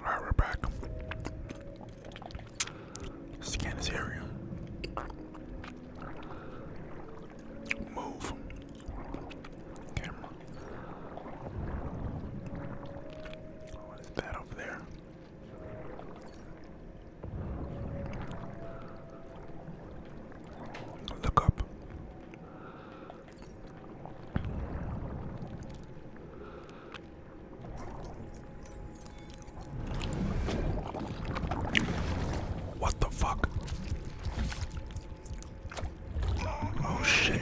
Alright, we're back. Scan this area. Move. Camera. What is that over there? Look up. What the fuck? Oh shit.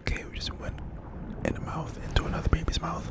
Okay, we just went in the mouth, into another baby's mouth.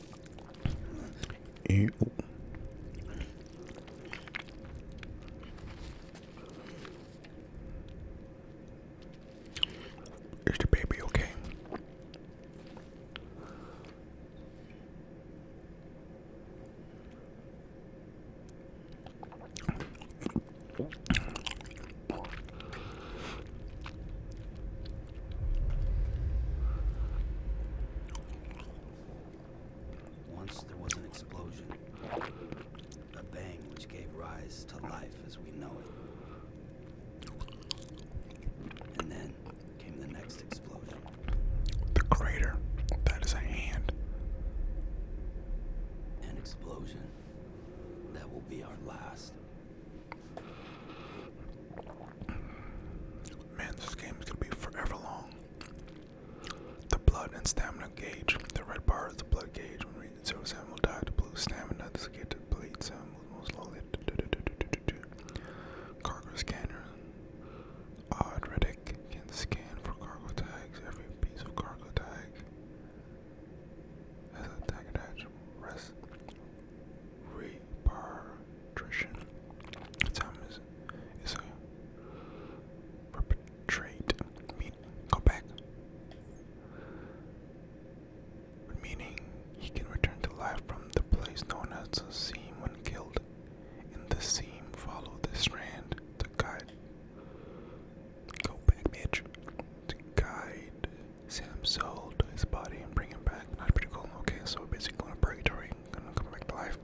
oh. Is the baby okay? Once there was an explosion. A bang which gave rise to life as we know it. And then came the next explosion. The crater. That is a hand. An explosion. That will be our last. Man, this game is gonna be forever long. The blood and stamina gauge. The red bar is the blood gauge. When reading zero Sam will die. The blue stamina this get to bleed Sam will most slowly. Cargo scanner. Odd Riddick can scan for cargo tags. Every piece of cargo tag has a tag attached. Rest repatriation. Time is a perpetrate mean go back. Meaning he can return to life from the place known as a seam when killed. In the seam follow the strand to guide go back bitch to guide Sam sold his body and bring him back. Not pretty cool. Okay, so basically going to purgatory, gonna come back to life.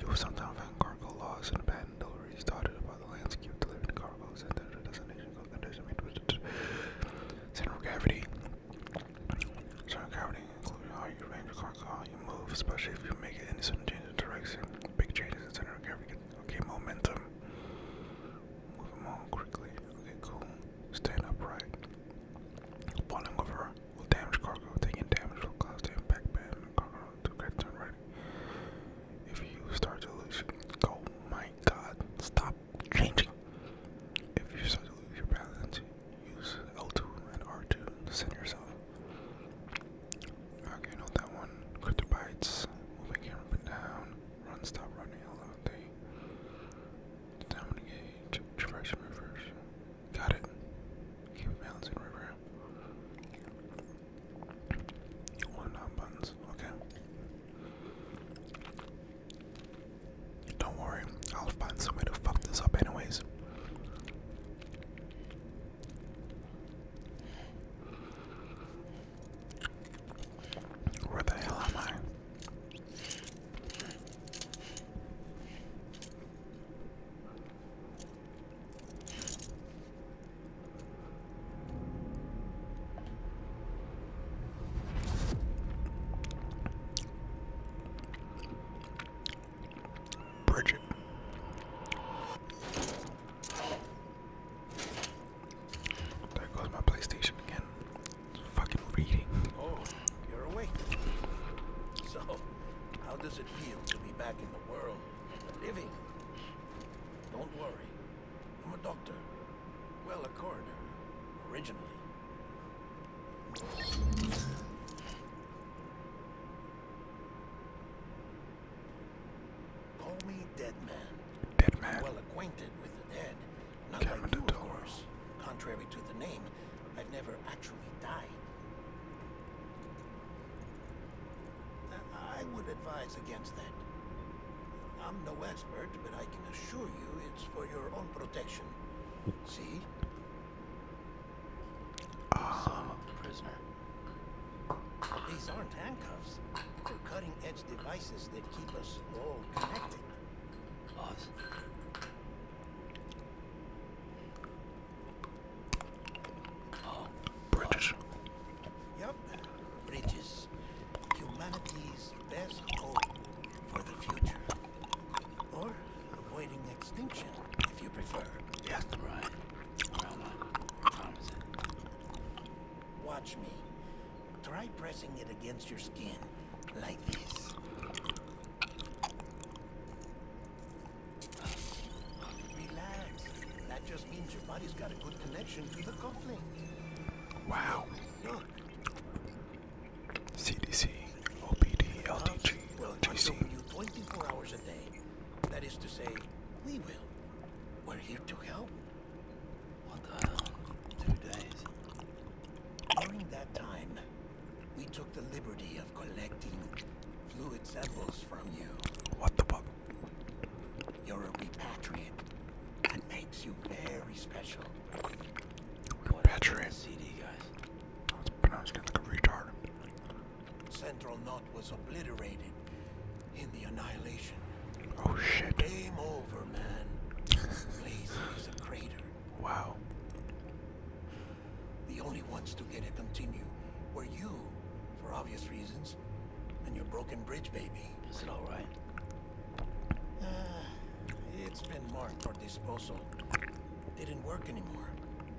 You sometimes find cargo laws and abandoned deliveries dotted about the landscape to live in the destination of condition with center of gravity. Center gravity, including how you arrange cargo, how you move, especially if you make any sudden change in direction. Big changes in center gravity. Okay, momentum. Move him on quickly. Okay, cool. Stand upright. Falling over will damage cargo. Taking damage will cause the impact ban cargo to get turn If you start to lose, oh my god, stop changing. If you start to lose your balance, use L2 and R2 to send yourself. Okay, not that one. Cryptobites, moving here down. Run, stop running along the dominant gauge, traversing Got it. Keep balancing river. One on buttons, okay. Don't worry, I'll find some way to fuck this up anyways. Where the hell am I? Bridget. There goes my PlayStation again fucking reading. Oh, you're awake. So, how does it feel to be back in the world, living? Don't worry, I'm a doctor. Well, a coroner, originally. Call me dead man. well acquainted with the dead. Not Kevin like you, of course. Contrary to the name, I've never actually died. I would advise against that. I'm no expert, but I can assure you it's for your own protection. See? Ah. Some prisoner. These aren't handcuffs. They're cutting-edge devices that keep us all connected. British. Oh, yep, Bridges. Humanity's best hope for the future. Or avoiding extinction, if you prefer. Yes, right. Watch me. Try pressing it against your skin, like this. Relax. That just means your body's got a good connection to the cufflink. Wow. Look. CDC, OPD, LDG, LGC. you 24 hours a day. That is to say, we will. We're here to help. What the Two days. During that time, we took the liberty of collecting fluid samples from you. What the fuck? You're a repatriate. That makes you very special. Repatriate? CD, pronounced like a retard. Central Knot was obliterated in the annihilation. Oh shit. Game over, man. Place a crater. Wow. The only ones to get it continue were you, for obvious reasons, and your broken bridge baby. Is it alright? Uh, it's been marked for disposal. Didn't work anymore.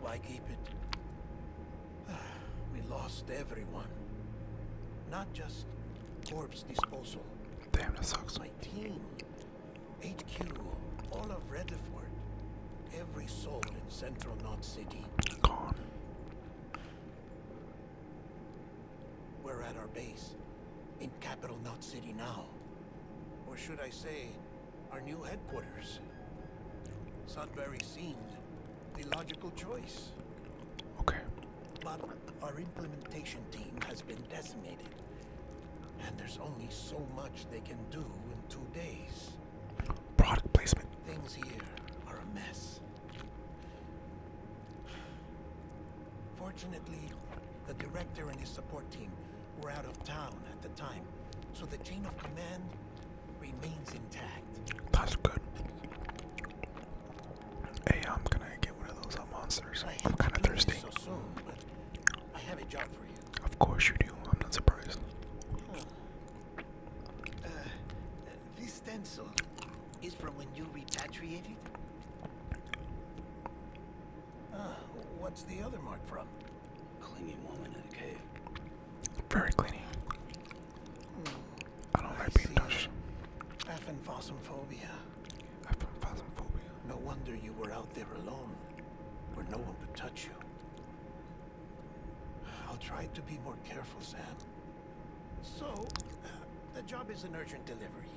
Why keep it? we lost everyone. Not just Corpse disposal. Damn, that sucks. My team, Q, all of Redford, every soul in Central Knot City. Gone. We're at our base, in Capital Knot City now. Or should I say, our new headquarters. Sudbury seemed the logical choice. Okay. Our implementation team has been decimated. And there's only so much they can do in two days. Product placement. Things here are a mess. Fortunately, the director and his support team were out of town at the time, so the chain of command remains intact. That's good. Hey, I'm gonna get one of those uh, monsters. I am kind of thirsty. Of course you do. I'm not surprised. Uh, uh, this stencil is from when you repatriated. what's the other mark from? Clinging woman in a cave. Very cleaning. Hmm. I don't I like being touched. Aphanphosmophobia. Aphanphosmophobia. No wonder you were out there alone, where no one could touch you. I'll try to be more careful, Sam. So, the job is an urgent delivery.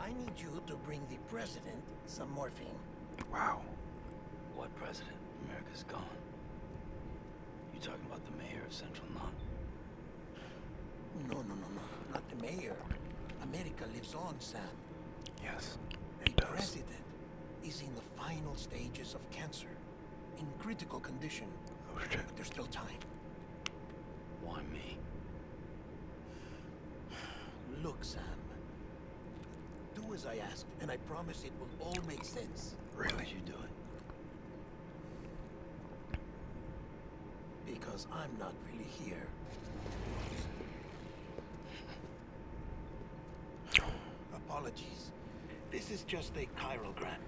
I need you to bring the president some morphine. Wow. What president? America's gone. You talking about the mayor of Central Non? No, no, no, no. Not the mayor. America lives on, Sam. Yes, it the president is in the final stages of cancer. In critical condition. Oh, shit. But there's still time. Why me? Look, Sam. Do as I ask, and I promise it will all make sense. Really? you do it? Because I'm not really here. Apologies. This is just a chirogram.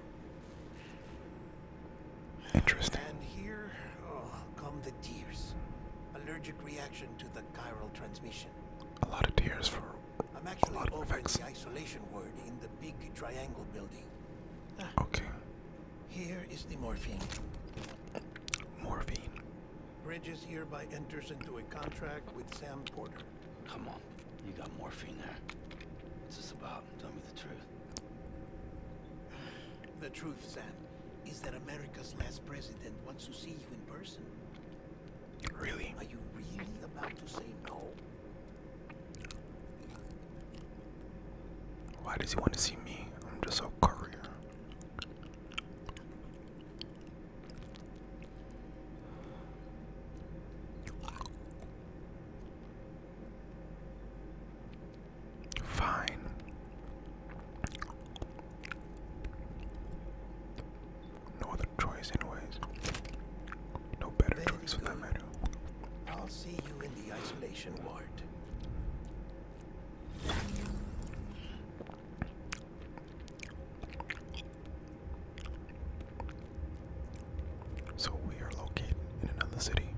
Interesting. And here oh, come the tears. Allergic reaction to the chiral transmission. A lot of tears for I'm actually a lot of over effects. the isolation ward in the big triangle building. Ah. Okay. Here is the morphine. Morphine. Bridges hereby enters into a contract with Sam Porter. Come on. You got morphine there. What's this about? Tell me the truth. The truth, Sam, is that America's last president wants to see you in person. Really? Are you really about to say no? Why does he want to see me? I'm just a courier. Fine. No other choice, anyways. No better Very for that matter. I'll see you in the isolation ward. So we are located in another city.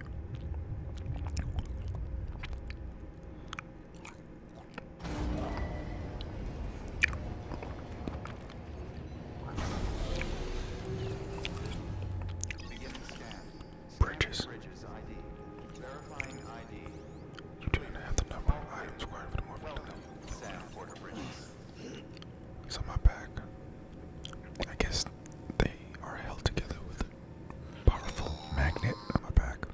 Bridges. Verifying ID. You do not have the number of items required for the morphine delivery. It's on my back. I guess they are held together with a powerful magnet on my back.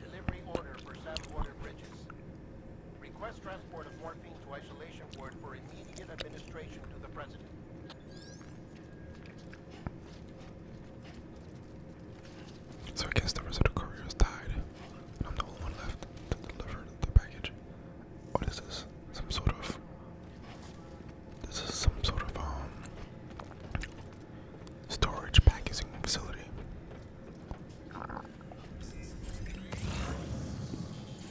Delivery order for Southwater Bridges. Request transport of morphine to isolation ward for immediate administration to the president. So I guess the rest of the courier died, and I'm the only one left to deliver the package. What oh, is this? Some sort of. This is some sort of um storage packaging facility.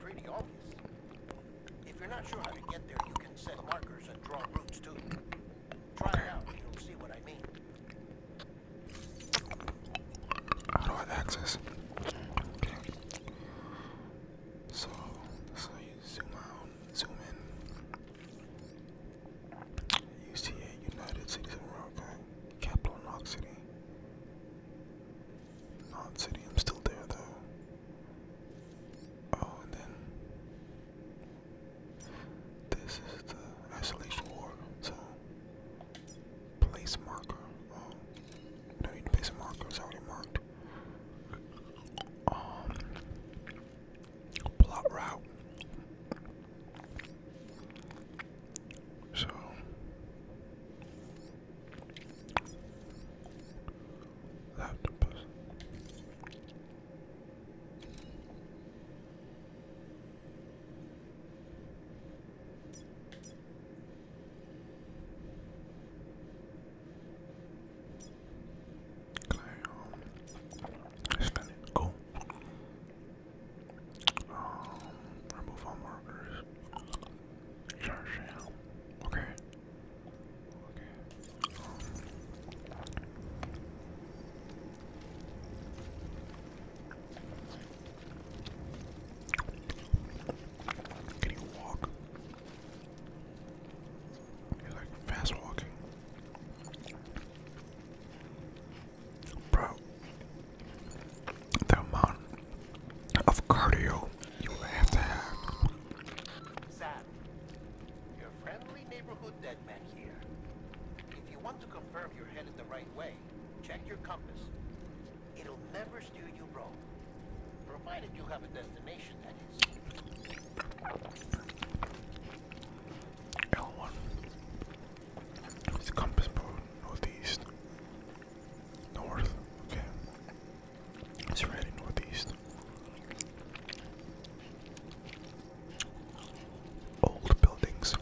pretty obvious. If you're not sure how to get there, you can set markers and draw routes too. Try it out and you'll see what I mean. How do I access? Okay. So, so you zoom out, zoom in. UCA, United Cities of America, Capital Knox City. Not I'm still there though. Oh, then this is the isolation war. So place marker. Oh, no need to place marker. It's already marked. Um, plot route. So Laptopus. Can um, I, um, spin it? Cool. Um, remove markers. Charge now. Okay. Okay. Can you walk? You're like fast walking. Bro, the amount of cardio you have to have. Sam, your friendly neighborhood dead man here. If you want to confirm you're headed the right way, check your compass. It'll never steer you wrong. Provided you have a destination, that compass mode, northeast. North, okay. It's right in northeast. Old buildings.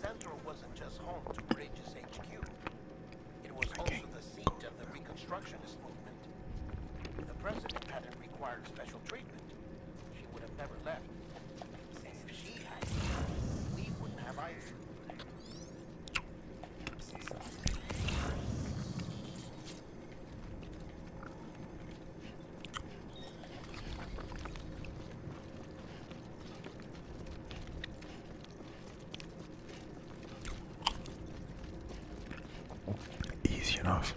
Central wasn't just home to Bridges HQ. It was also the seat of the Reconstructionist movement. the president hadn't required special treatment, she would have never left. if she had, we wouldn't have either. Easy enough.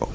Oh.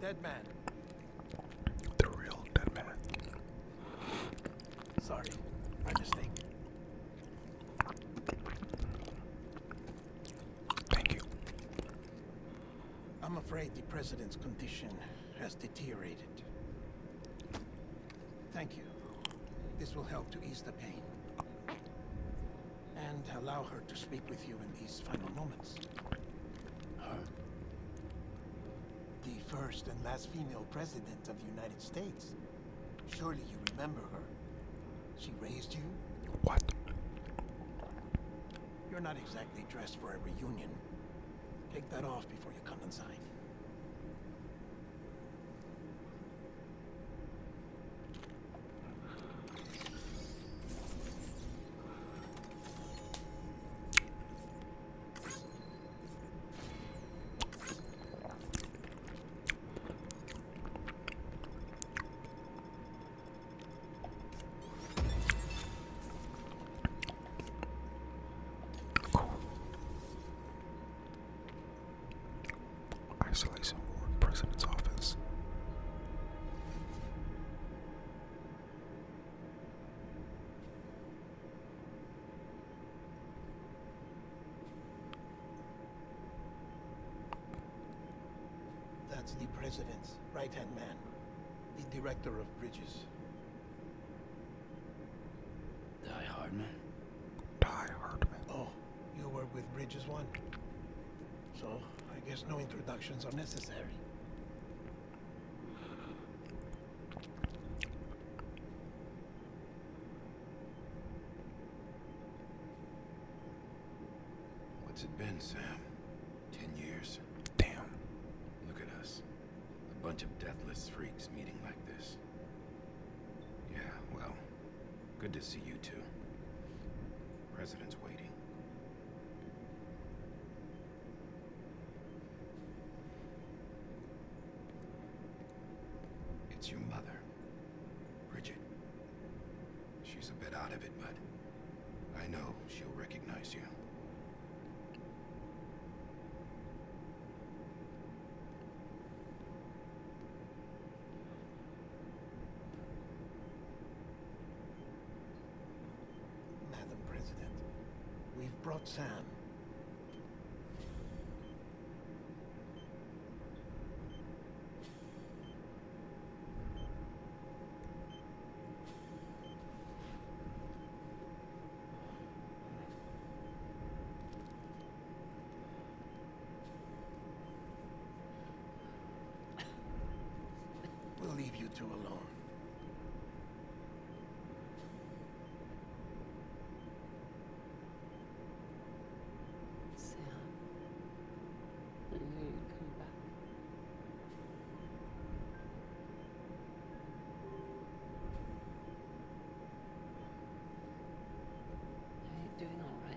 Dead man. The real dead man. Sorry, my mistake. Thank you. I'm afraid the president's condition has deteriorated. Thank you. This will help to ease the pain and allow her to speak with you in these final moments. Her? The first and last female president of the United States. Surely you remember her. She raised you? What? You're not exactly dressed for a reunion. Take that off before you come inside. Isolation ward, president's office. That's the President's right-hand man, the Director of Bridges. Die Hardman? Die Hardman. Oh, you were with Bridges One? So, I guess no introductions are necessary. What's it been, Sam? Ten years? Damn. Look at us. A bunch of deathless freaks meeting like this. Yeah, well, good to see you two. President's waiting. It's your mother, Bridget. She's a bit out of it, but I know she'll recognize you. Madam President, we've brought Sam. We'll leave you two alone. Sam, I knew you'd come back. Are you doing all right?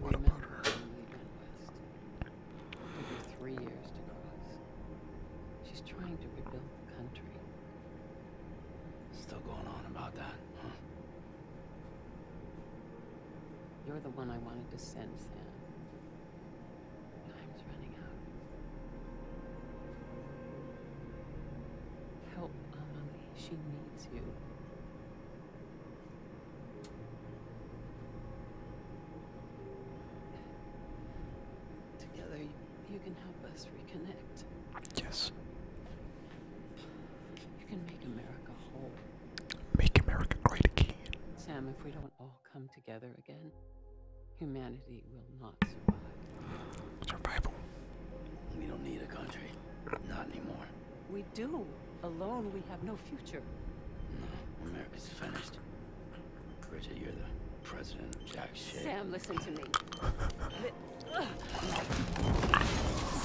What about her? It took her three years to cross. She's trying to rebuild the country. Still going on about that, huh? You're the one I wanted to send, Sam. Time's running out. Help Amalie. She needs you. Together, you can help us reconnect. Yes. You can make America whole. Make America great again. Sam, if we don't all come together again, humanity will not survive. Survival. We don't need a country. Not anymore. We do. Alone, we have no future. No, America's finished. Bridget, you're the president of jack shit. Sam, listen to me.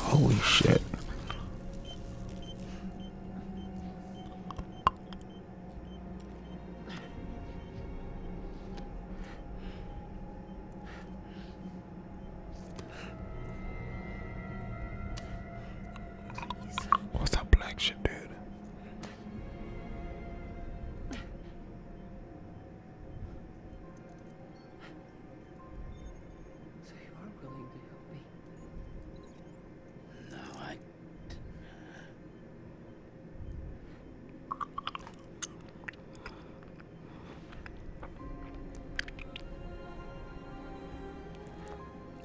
Holy shit. What's that black shit, dude? So you are willing to help me? No, I.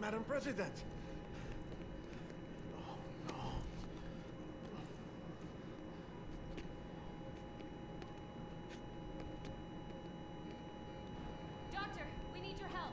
Madam President! Oh, no. Doctor, we need your help.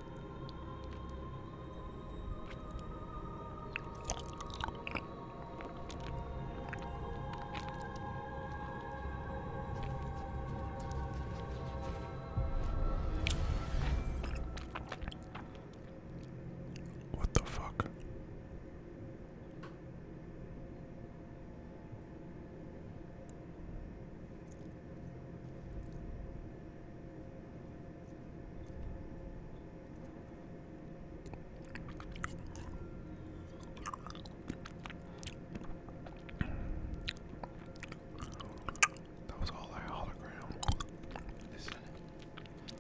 What the fuck? That was all a hologram. Listen,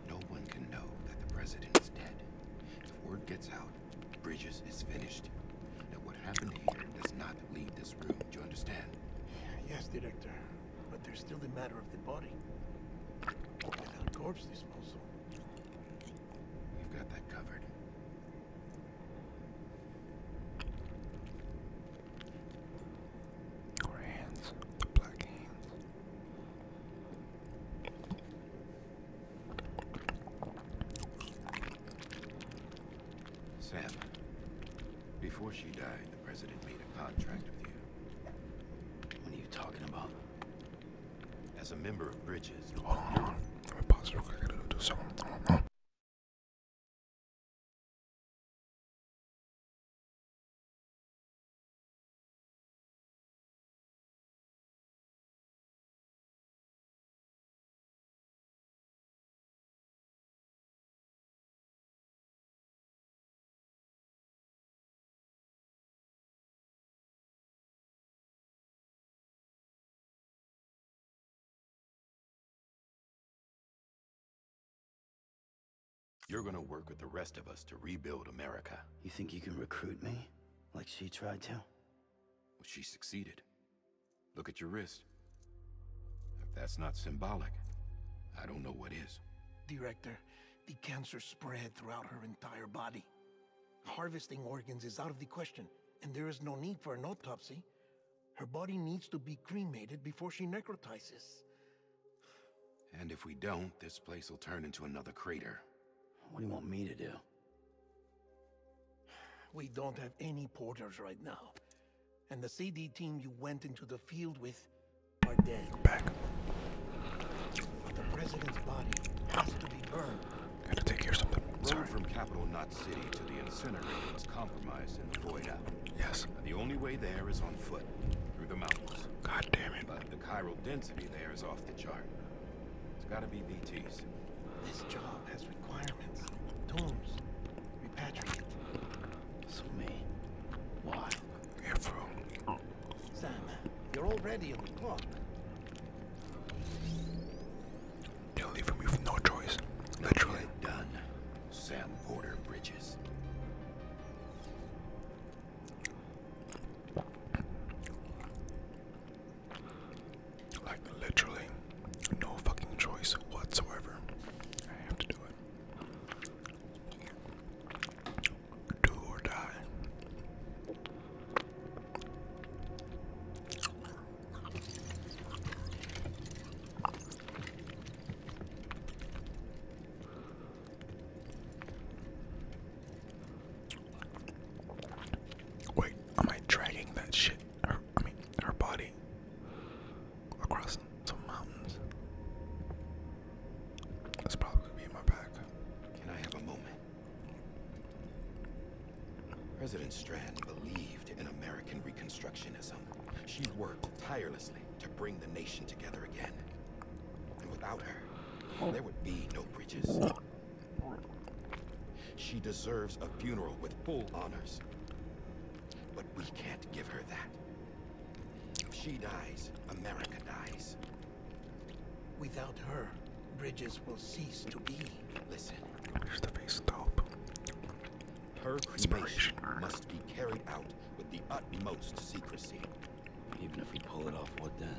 no one can know that the president is dead. If word gets out, Bridges is finished. That what happened here does not leave this room. Do you understand? Yes, Director. But there's still the matter of the body. Without corpse disposal. We've got that covered. Or hands. black hands. Sam, before she died, the President made a contract with you. What are you talking about? As a member of Bridges... Hold on, Let me pause real quick. I do something. Hold you're gonna work with the rest of us to rebuild America. You think you can recruit me? Like she tried to? Well, she succeeded. Look at your wrist. If that's not symbolic, I don't know what is. Director, the cancer spread throughout her entire body. Harvesting organs is out of the question, and there is no need for an autopsy. Her body needs to be cremated before she necrotizes. And if we don't, this place will turn into another crater. What do you want me to do? We don't have any porters right now and the CD team you went into the field with are dead. Back. the president's body has to be burned. Gotta take care of something. Sorry. Road from capital not City to the incinerator was compromised in the void out. Yes. the only way there is on foot, through the mountains. God damn it. But the chiral density there is off the chart. It's gotta be BT's. This job has requirements, tombs, repatriate. So me. Why? Sam, you're already on the clock. They're leaving me with no choice. Literally. done. Sam Porter Bridges. Like literally no fucking choice whatsoever. I have to do it. Do or die. Wait, am I dragging that shit her, I mean, her body across some mountains. That's probably going be in my back. Can I have a moment? President Strand believed in American Reconstructionism. She worked tirelessly to bring the nation together again. And without her, there would be no bridges. She deserves a funeral with full honors. But we can't give her that. If she dies, America dies. Without her, bridges will cease to be. Listen. Here's the base scope. Her mission must be carried out with the utmost secrecy. Even if we pull it off, what then?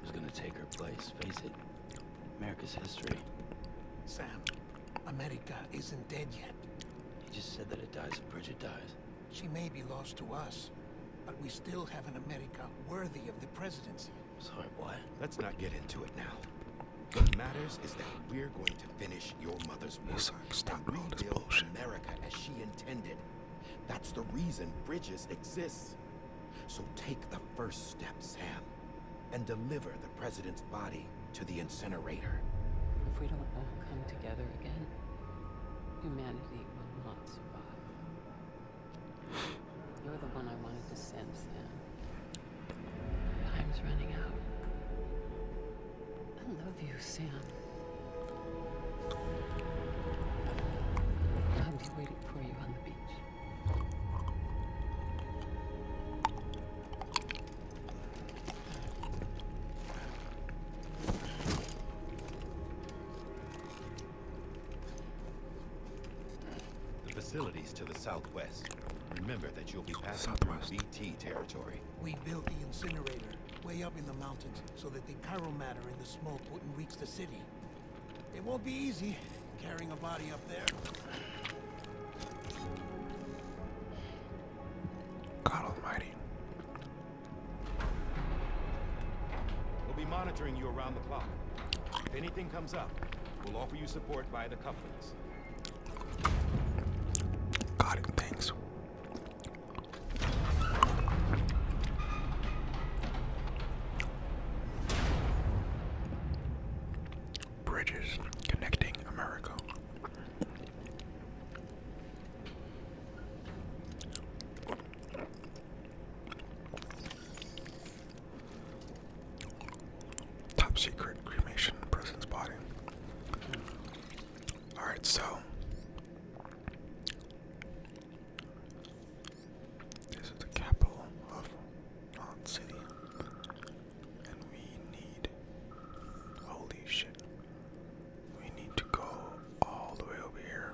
Who's gonna take her place? Face it, America's history. Sam, America isn't dead yet. He just said that it dies if Bridget dies. She may be lost to us, but we still have an America worthy of the presidency. Sorry, what? Let's not get into it now. What matters is that we're going to finish your mother's work Listen, and rebuild this bullshit. America as she intended. That's the reason Bridges exists. So take the first step, Sam and deliver the president's body to the incinerator. If we don't all come together again, humanity will not survive. You're the one I wanted to send, Sam. Time's running out. I love you, Sam. I'll be waiting for you on the beach. The facilities to the southwest. Remember that you'll be passing southwest. through BT territory. We built the incinerator way up in the mountains so that the chiral matter in the smoke wouldn't reach the city. It won't be easy carrying a body up. God Almighty. We'll be monitoring you around the clock. If anything comes up, we'll offer you support via the cufflinks. Got thanks. Bridges connecting America. Top secret cremation person's body. Alright, so this is the capital of Mount and we need. Holy shit. We need to go all the way over here.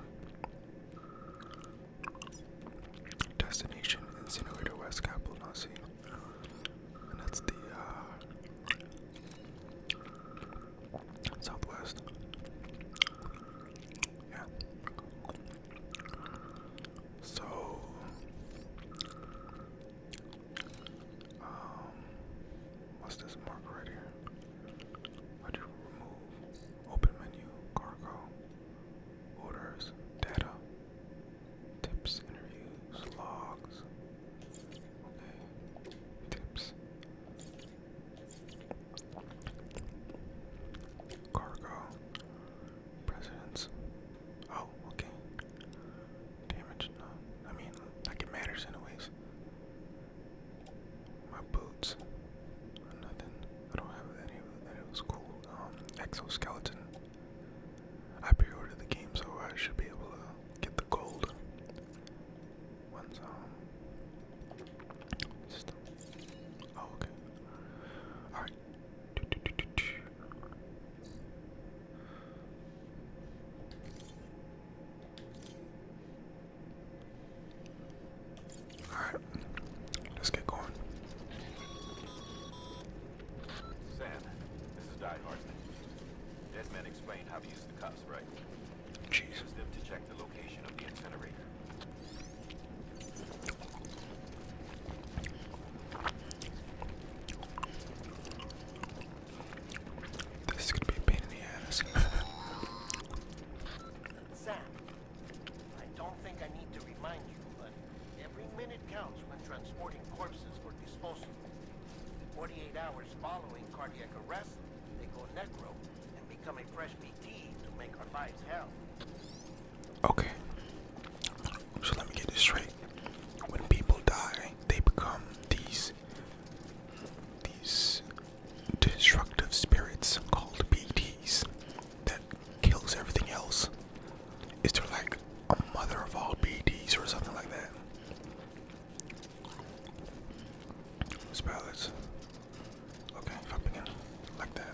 Destination Incinerator West Capital Nazi. And that's the uh, southwest. Yeah. So um, what's this mark right here? How do you remove? Open menu, cargo, orders, data, tips, interviews, logs. Okay, tips, cargo, presidents, Oh, okay. Damage, no. I mean, like it matters anyways. My boots. Nothing. I don't have any of it. was cool. Um, exoskeleton. I pre-ordered the game, so I should be able to get the gold. One's um. oh, okay. Alright, all right, let's get going. Sam, this is Die Hartman. Desmond explained how to use the cuffs, right? Jeez. Use them to check the location of the incinerator. This is be a pain in the ass. Sam, I don't think I need to remind you, but every minute counts when transporting corpses for disposal. 48 hours following cardiac arrest, they go necro and become a fresh BT to make our lives hell. Okay. So let me get this straight. When people die, they become these these destructive spirits called BTs that kills everything else. Is there like a mother of all BTs or something like that? Spell Okay, if I like that.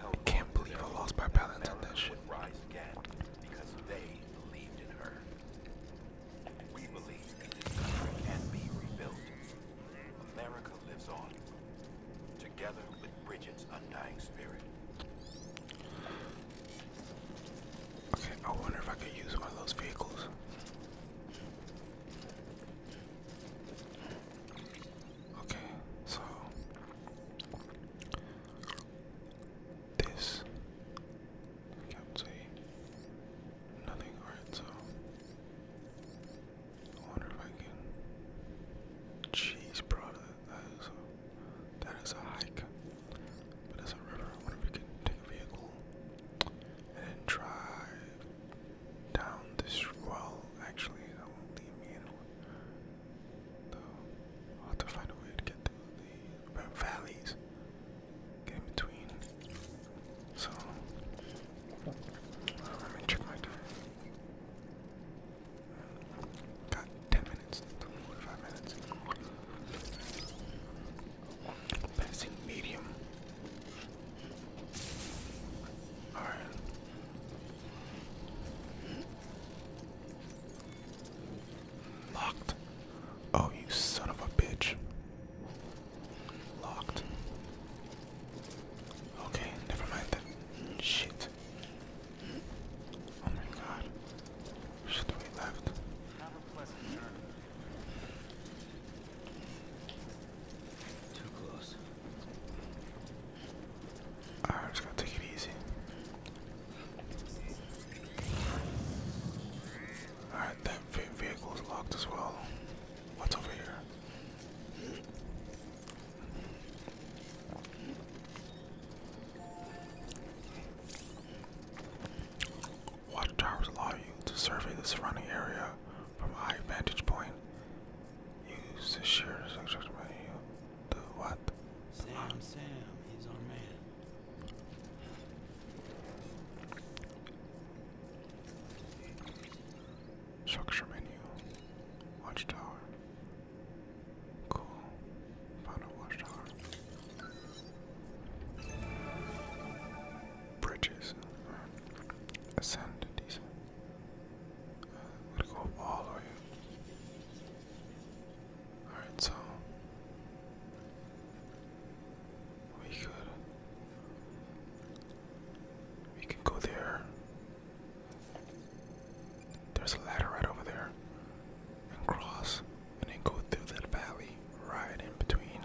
I can't believe I lost my balance on that shit. Rise again because they believed in her. We believe that this country can be rebuilt. America lives on, together with Bridget's undying spirit. Okay, I wonder if I could use one of those vehicles. Okay, so this can't say nothing. Alright, so I wonder if I can. Jeez, brother, that is a that is a hike, but it's a river. I wonder if we can take a vehicle and drive down this. Well, actually, that won't me in have to find a way to get through the valleys. Get in between. So well, let me check my time. Got ten minutes, forty-five minutes. Passing medium. Alright. Locked. Oh, you son of a bitch. Locked. Okay, never mind that. Shit. Oh my god. Shit, we left. Too close. Alright, i just gonna take it easy. Alright, that vehicle is locked as well. What's over here? Watchtowers allow you to survey the surrounding area from a high vantage point. Use the share to construct you. The what? Sam, the what? Sam, he's our man. Structure menu. Watchtower. Cool. Found a watchtower. Bridges. Ascend. Decent i go all the way. Alright, so we could we can go there. There's a ladder right over there. And cross and then go through that valley right in between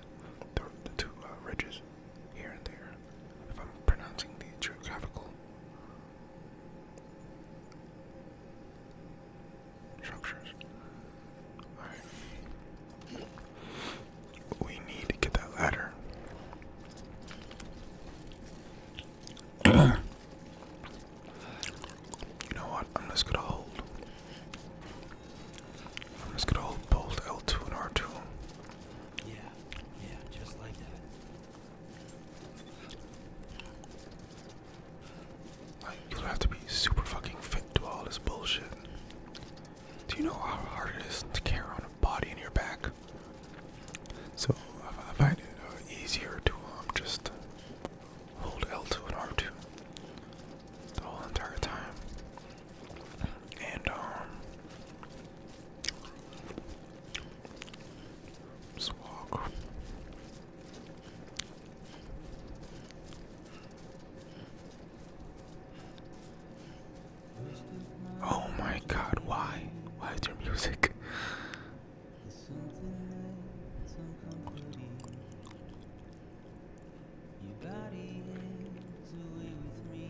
the, two uh, ridges here and there. If I'm pronouncing the geographical Structures. Alright. We need to get that ladder. you know what? I'm just gonna hold. I'm just gonna hold both L2 and R2. Yeah, yeah, just like that. Like, you have to be super fucking fit to all this bullshit. Do you know how hard it is to carry on a body in your back? So, I find it uh, easier to um, just hold L2 and R2 the whole entire time. And, um, Oh my god, why? Why is there music? Your body is away with me.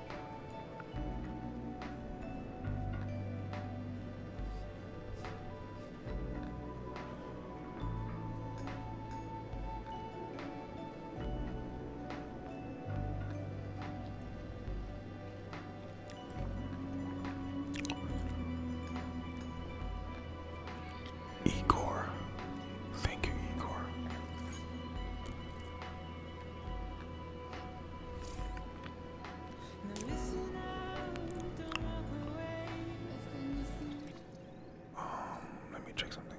Igor, thank you, Igor. Um, let me check something.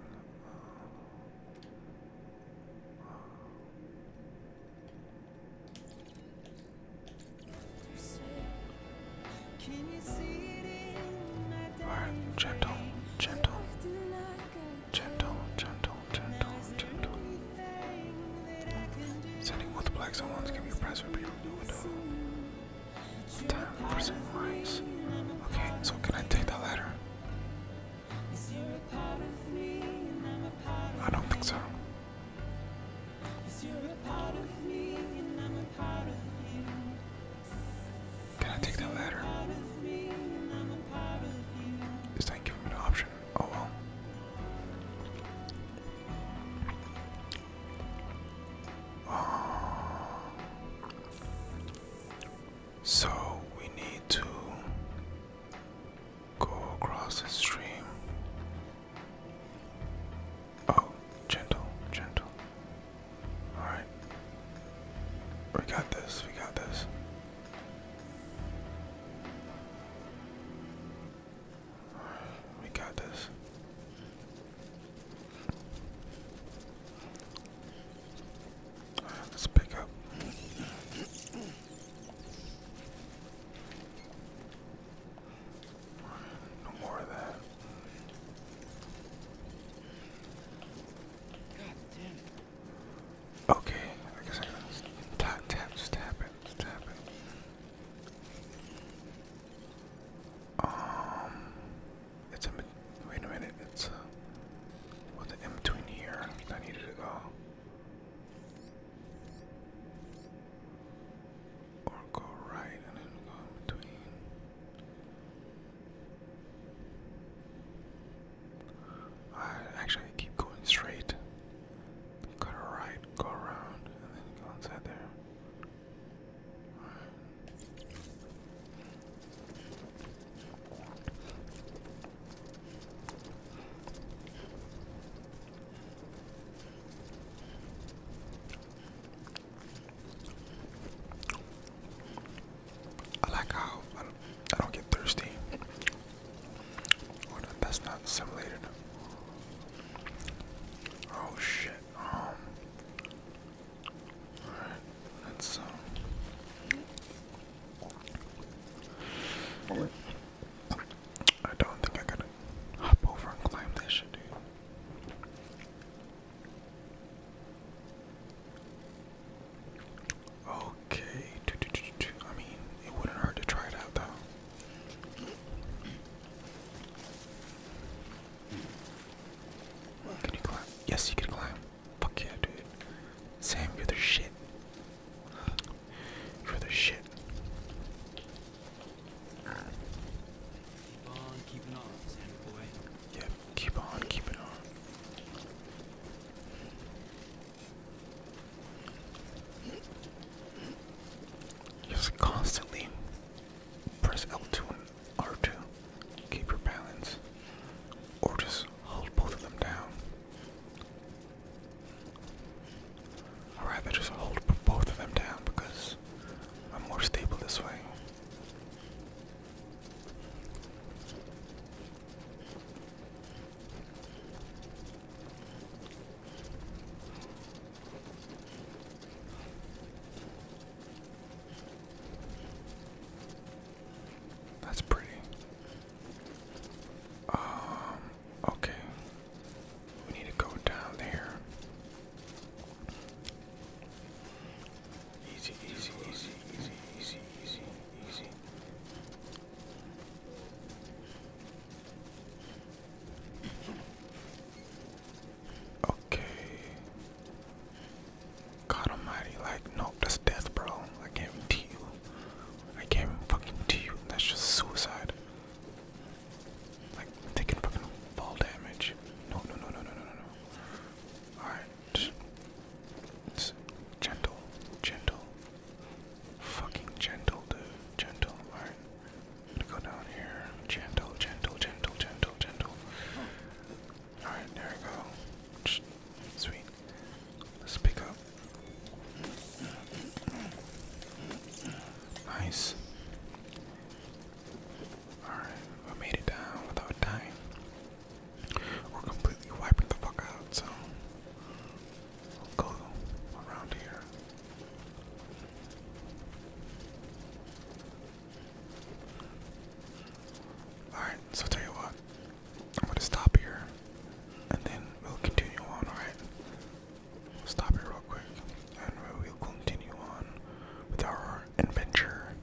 All right, gentle, gentle. Gentle, gentle, gentle, gentle. Sending both blacks and ones can be pressed for Time for some Okay, so can I take that ladder? I don't think so. Can I take that ladder? This did give me an option. Oh well. Uh, so we need to go across the stream. Oh, gentle, gentle. All right. We got this. We got this. we got this. right, let's pick up. no more of that. God damn Okay, I guess I gotta tap, tap, just tap it, tap it. Um, it's a, wait a minute, it's a, what's in between here I needed to go? Or go right and then go in between. I actually keep going straight. Cut right, go around, and then go inside there. I like how I don't, I don't get thirsty. Oh, that's not simulated. Oh shit. Um. Alright, let's um. I don't think I gotta hop over and climb that shit, dude. Okay. I mean, it wouldn't hurt to try it out though. Can you climb? Yes, you can climb. Fuck yeah, dude. Sam, you're the shit. You're the shit. Yeah, Keep on, keep it on. Just constantly press L2 and R2. Keep your balance. Or just hold both of them down. i rather just hold both of them down because I'm more stable this way. That's pretty. Um, okay. We need to go down there. Easy, easy, easy, easy, easy, easy, easy. Okay. God almighty, like, nope, that's death, bro. I can't even I can't fucking to That's just suicide. Like, taking fucking fall damage. no, no, no, no, no, no, no. Alright gentle, gentle, fucking gentle, dude, gentle. alright I'm gonna go down here. Gentle, gentle, gentle, gentle, gentle. All right, there we go. Sweet. Let's pick up. Nice. Alright, we made it down without dying. We're completely wiping the fuck out, so I'll go around here. Alright, so tell you what, I'm gonna stop here and then we'll continue on, alright? We'll stop here real quick and we'll continue on with our adventure.